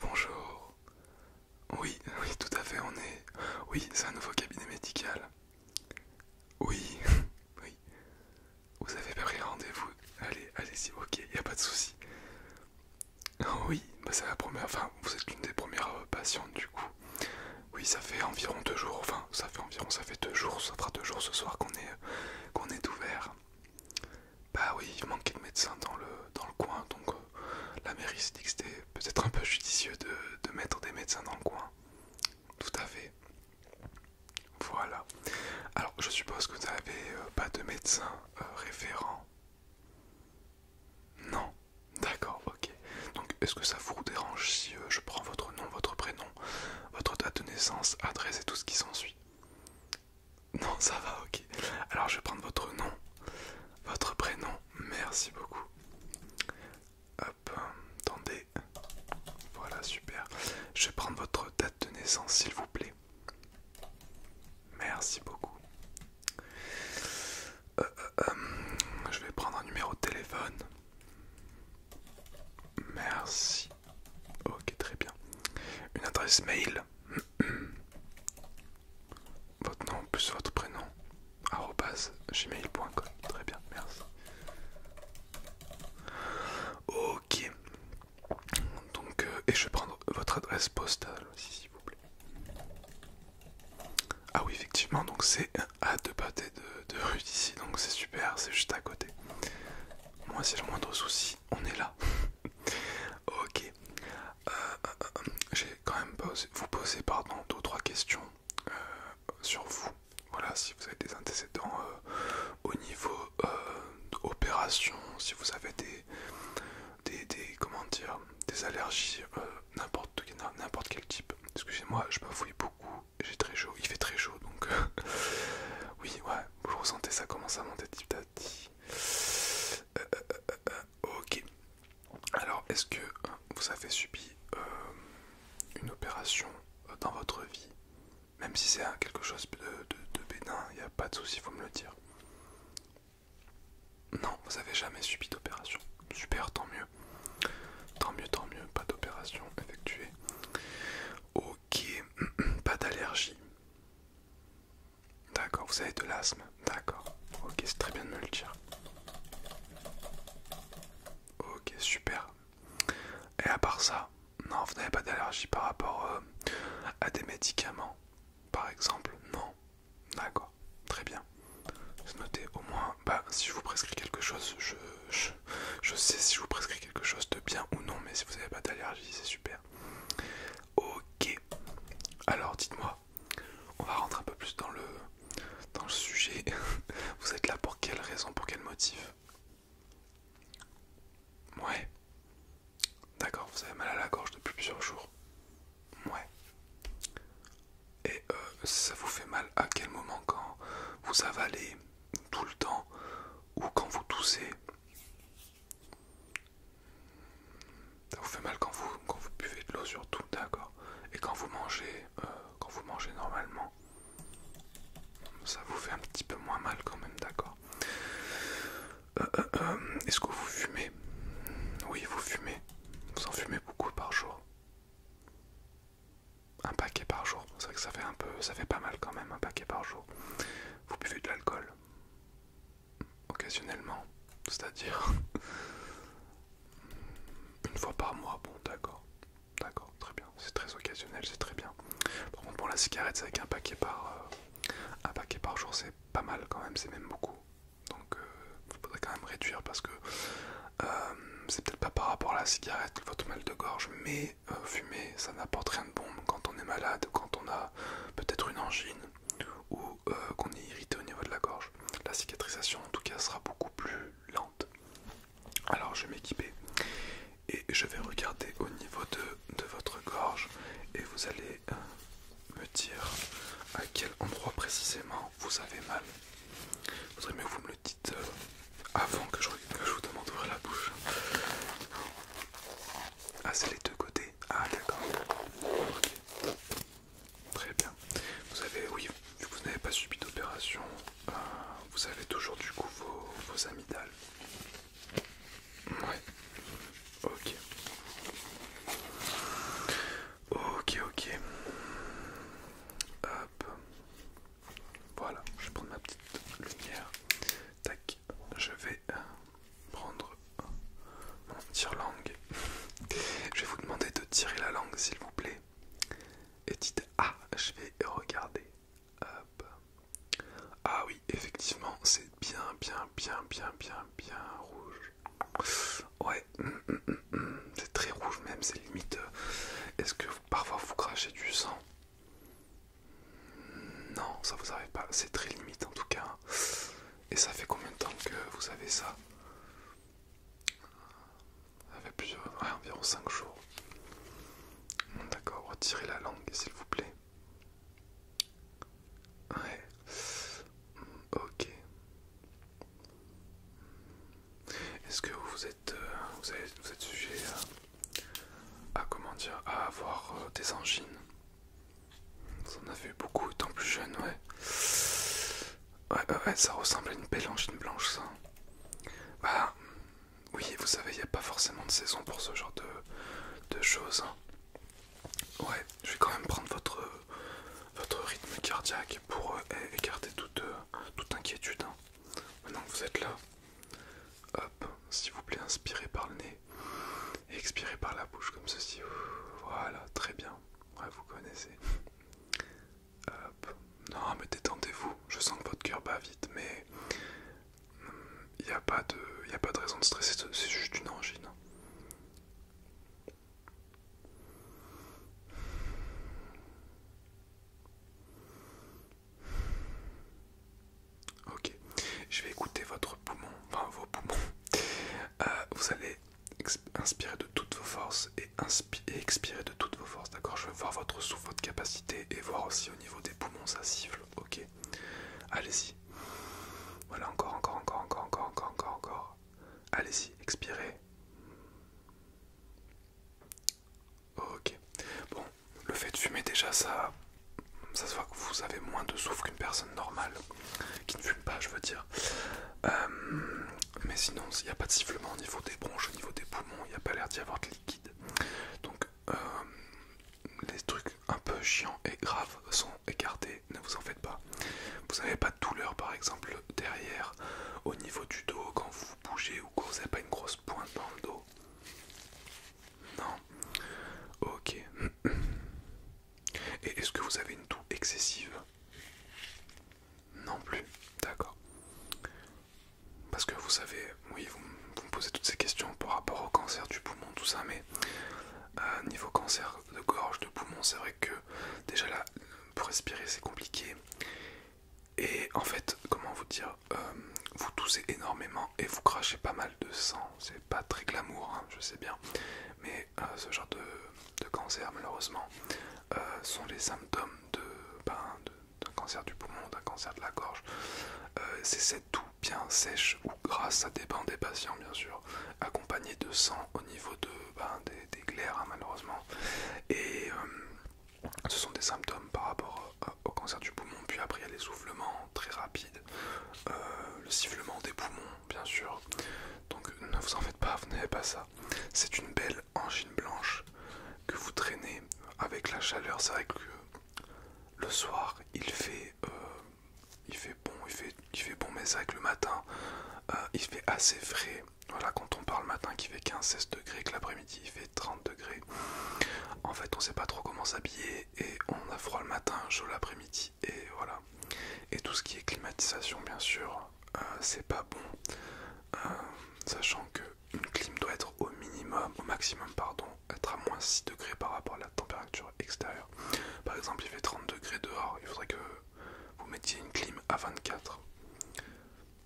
Bonjour. Oui, oui, tout à fait, on est... Oui, c'est un nouveau cabinet médical. Oui, oui. Vous avez pas pris rendez-vous Allez, allez-y, ok, y a pas de souci. Oh oui, bah c'est la première... Enfin, vous êtes l'une des premières patientes du coup. Oui, ça fait environ deux jours, enfin, ça fait environ, ça fait deux jours, ça fera deux jours ce soir qu'on est, qu'on est ouvert. Bah oui, il manquait de médecins dans le, dans le coin, donc euh, la mairie s'est dit que c'était peut-être un peu judicieux de, mettre des médecins dans le coin. Tout à fait. Voilà. Alors je suppose que vous n'avez euh, pas de médecin euh, référent. Non. D'accord, ok. Donc est-ce que ça vous dérange si je prends votre nom, votre prénom, votre date de naissance, adresse et tout ce qui s'ensuit Non, ça va, ok. Alors je vais prendre votre nom, votre prénom. Merci beaucoup. Hop, attendez. Voilà, super. Je vais prendre votre date de naissance, s'il vous plaît. Merci beaucoup. Euh, euh, euh, je vais prendre un numéro de téléphone. Merci. Ok, très bien. Une adresse mail. votre nom plus votre prénom. gmail.com. Très bien, merci. Ok. Donc, euh, et je vais prendre votre adresse postale aussi, s'il vous plaît. Ah oui, effectivement, donc c'est à deux pâtés de, de rue d'ici, donc c'est super, c'est juste à côté. Moi, c'est le moindre souci, on est là. ok. Euh, euh, euh, j'ai quand même vous poser pardon, deux trois questions sur vous. Voilà, si vous avez des antécédents au niveau euh, opération, si vous avez des, des, des allergies, n'importe quel type. Excusez-moi, je fouille beaucoup j'ai très chaud, il fait très chaud donc euh, oui ouais vous ressentez ça commence à monter petit à petit. Euh, euh, ok alors est-ce que vous avez subi une opération dans votre vie même si c'est hein, quelque chose de, bénin, il n'y a pas de souci, faut me le dire. Non, vous n'avez jamais subi d'opération. Super, tant mieux. Tant mieux, tant mieux, pas d'opération effectuée. Ok, pas d'allergie. D'accord, vous avez de l'asthme. D'accord. Ok, c'est très bien de me le dire. Ok, super. Et à part ça, non, vous n'avez pas d'allergie par rapport euh, à des médicaments, par exemple Non. D'accord, très bien. notez Au moins, bah, si je vous prescris quelque chose, je je, sais si je vous prescris quelque chose de bien ou non, mais si vous n'avez pas d'allergie, c'est super. Ok, alors dites-moi, on va rentrer un peu plus dans le, dans le sujet. Vous êtes là pour quelle raison, pour quel motif Ouais. D'accord, vous avez mal à la gorge depuis plusieurs jours. Ouais. Et euh, ça vous fait mal à quel moment quand vous avalez tout le temps ou quand vous toussez. Ça vous fait mal quand vous, quand vous buvez de l'eau surtout, d'accord Et quand vous mangez, euh, quand vous mangez normalement, ça vous fait un petit peu moins mal quand même, d'accord euh, euh, Est-ce que vous fumez Oui, vous fumez. Vous en fumez beaucoup par jour un paquet par jour. C'est vrai que ça fait un peu, ça fait pas mal quand même, un paquet par jour. Vous buvez de l'alcool occasionnellement, c'est-à-dire une fois par mois. Bon, d'accord, d'accord, très bien. C'est très occasionnel, c'est très bien. Par contre, pour la cigarette, c'est avec un paquet par, euh, un paquet par jour, c'est pas mal quand même, c'est même beaucoup. Donc euh, faudrait quand même réduire parce que euh, c'est peut-être pas par rapport à la cigarette votre mal de gorge, mais euh, fumer ça n'apporte rien de bon quand on est malade, quand on a peut-être une angine ou euh, qu'on est irrité au niveau de la gorge. La cicatrisation en tout cas sera beaucoup plus lente. Alors je vais m'équiper et je vais regarder au niveau de, votre gorge et vous allez me dire à quel endroit précisément vous avez mal, vous mieux que vous me le dites euh, avant que je, vous demande d'ouvrir la bouche. Ah, c'est les deux côtés. Ah, d'accord. Très bien. Vous avez, oui, vous n'avez pas subi d'opération, euh, vous avez toujours du coup vos, vos amygdales. Ouais. Ok. Ok, ok. Hop. Voilà, je vais prendre ma petite lumière. Tac, je vais euh, prendre mon tire-langue. Je vais vous demander de tirer la langue, s'il vous plaît. Et dites Ah, je vais regarder. Hop. Ah oui, effectivement, c'est bien, bien, bien, bien, bien, bien rouge. Ouais, hum, hum, hum, c'est très rouge même, c'est limite. Euh, est-ce que parfois vous crachez du sang Non, ça vous arrive pas, c'est très limite en tout cas. Et ça fait combien de temps que vous avez ça Ça fait plusieurs, environ 5 jours. D'accord, retirez la langue s'il vous plaît. Ouais. Ok. Est-ce que vous êtes, euh, vous êtes, vous êtes sujet à, comment dire, à avoir euh, des engines. Vous en avez vu beaucoup étant plus jeune, ouais. Ouais, ouais, ça ressemble à une belle engine blanche, ça. Bah, oui, vous savez, il n'y a pas forcément de saison pour ce genre de, de choses. Hein. Ouais, je vais quand même prendre votre, rythme cardiaque pour euh, écarter toute, euh, inquiétude. Hein. Maintenant que vous êtes là, hop, s'il vous plaît, inspirez par le nez expirez par la bouche comme ceci. Voilà, très bien. Ouais, vous connaissez. Hop. Non, mais détendez-vous. Je sens que votre cœur bat vite, mais il hmm, n'y a, a pas de raison de stresser. C'est juste une angine. Ok, je vais écouter votre poumon, enfin vos poumons. Euh, vous allez inspirer de toutes vos forces et, expirer de toutes vos forces, d'accord Je vais voir votre souffle, votre capacité et voir aussi au niveau des poumons, ça siffle, ok Allez-y, voilà, encore, encore, encore, encore, encore, encore, encore, encore. Allez-y, expirez. Ok. Bon, le fait de fumer déjà, ça, ça se voit que vous avez moins de souffle qu'une personne normale qui ne fume pas, je veux dire. Euh, mais sinon, il n'y a pas de sifflement au niveau des bronches, au niveau des poumons, il n'y a pas l'air d'y avoir de liquide. Donc, euh, les trucs un peu chiant et grave sont écartés, ne vous en faites pas. Vous n'avez pas de douleur par exemple derrière, au niveau du dos, quand vous bougez ou quand vous n'avez pas une grosse pointe dans le dos. Non Ok. Et est-ce que vous avez une toux excessive Non plus. D'accord. Parce que vous savez, oui, vous, me posez toutes ces questions par rapport au cancer du poumon, tout ça, mais euh, niveau cancer de gorge, de poumon, c'est vrai que déjà là, pour respirer, c'est compliqué. Et en fait, comment vous dire, euh, vous toussez énormément et vous crachez pas mal de sang. C'est pas très glamour, hein, je sais bien, mais euh, ce genre de, cancer, malheureusement, sont les symptômes ben, de. d'un cancer du poumon, d'un cancer de la gorge, c'est cette douleur bien sèche ou grasse, ça dépend des patients bien sûr, accompagné de sang au niveau de, ben, des, glaires hein, malheureusement. Et euh, ce sont des symptômes par rapport au cancer du poumon. Puis après il y a les soufflements très rapides, euh, le sifflement des poumons bien sûr. Donc ne vous en faites pas, vous n'avez pas ça. C'est une belle angine blanche que vous traînez avec la chaleur. C'est vrai que le soir, euh, il fait, il fait bon, il fait, bon, mais avec le matin, euh, il fait assez frais. Voilà, quand on parle le matin qui fait 15-16 degrés, que l'après-midi il fait 30 degrés, en fait on sait pas trop comment s'habiller et on a froid le matin, chaud l'après-midi et voilà. Et tout ce qui est climatisation, bien sûr, euh, c'est pas bon, sachant que une clim doit être au minimum, au maximum, pardon, être à moins 6 degrés par rapport à la température extérieure. Par exemple, il fait 30 degrés dehors, il faudrait que vous mettiez une clim à 24.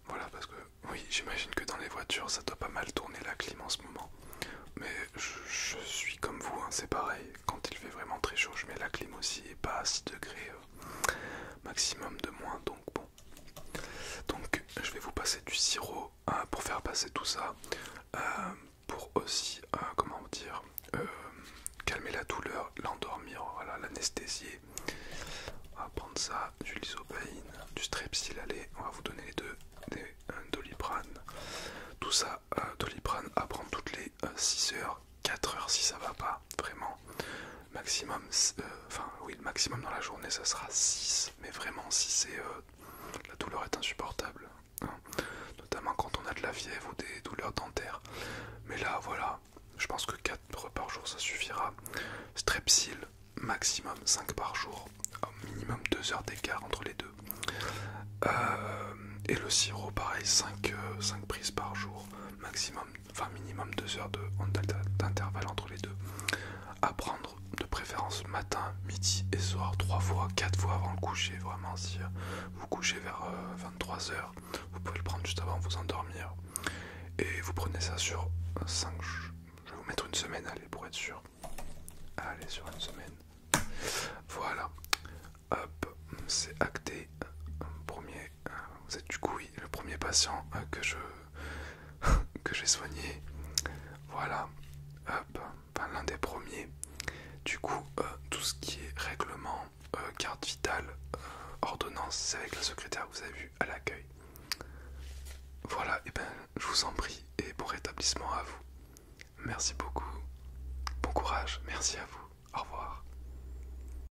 Voilà, parce que oui, j'imagine que dans les voitures, ça doit pas mal tourner la clim en ce moment. Mais je, suis comme vous, hein, c'est pareil. Quand il fait vraiment très chaud, je mets la clim aussi et pas à 6 degrés euh, maximum de moins. Donc bon, donc je vais vous passer du sirop hein, pour faire passer tout ça, euh, pour aussi, euh, comment dire, euh, calmer la douleur, l'endormir, voilà, l'anesthésier. On va prendre ça, du lysopaine, du strepsil, on va vous donner les deux, des Tout ça, doliprane à prendre toutes les 6 heures, 4 heures si ça va pas, vraiment maximum, euh, enfin oui, le maximum dans la journée ça sera 6, mais vraiment si c'est euh, la douleur est insupportable, hein. notamment quand on a de la fièvre ou des douleurs dentaires. Mais là voilà, je pense que 4 par jour ça suffira. Strepsil, maximum 5 par jour, au minimum 2 heures d'écart entre les deux. Euh, et le sirop pareil, 5, 5 prises par jour, maximum enfin minimum 2 heures d'intervalle entre les deux. À prendre de préférence matin, midi et soir, trois fois, quatre fois avant le coucher. Vraiment, si euh, vous couchez vers 23h, euh, vous pouvez le prendre juste avant de vous endormir. Et vous prenez ça sur 5 Je vais vous mettre une semaine, allez, pour être sûr. Allez, sur une semaine. Voilà. Hop, c'est acté. Premier euh, vous êtes du coup le premier patient euh, que j'ai soigné. Voilà, hop, l'un des premiers. Du coup, euh, tout ce qui est règlement, carte vitale, ordonnance, c'est avec le secrétaire que vous avez vu à l'accueil. Voilà, et eh ben je vous en prie et bon rétablissement à vous. Merci beaucoup. Bon courage, merci à vous. Au revoir.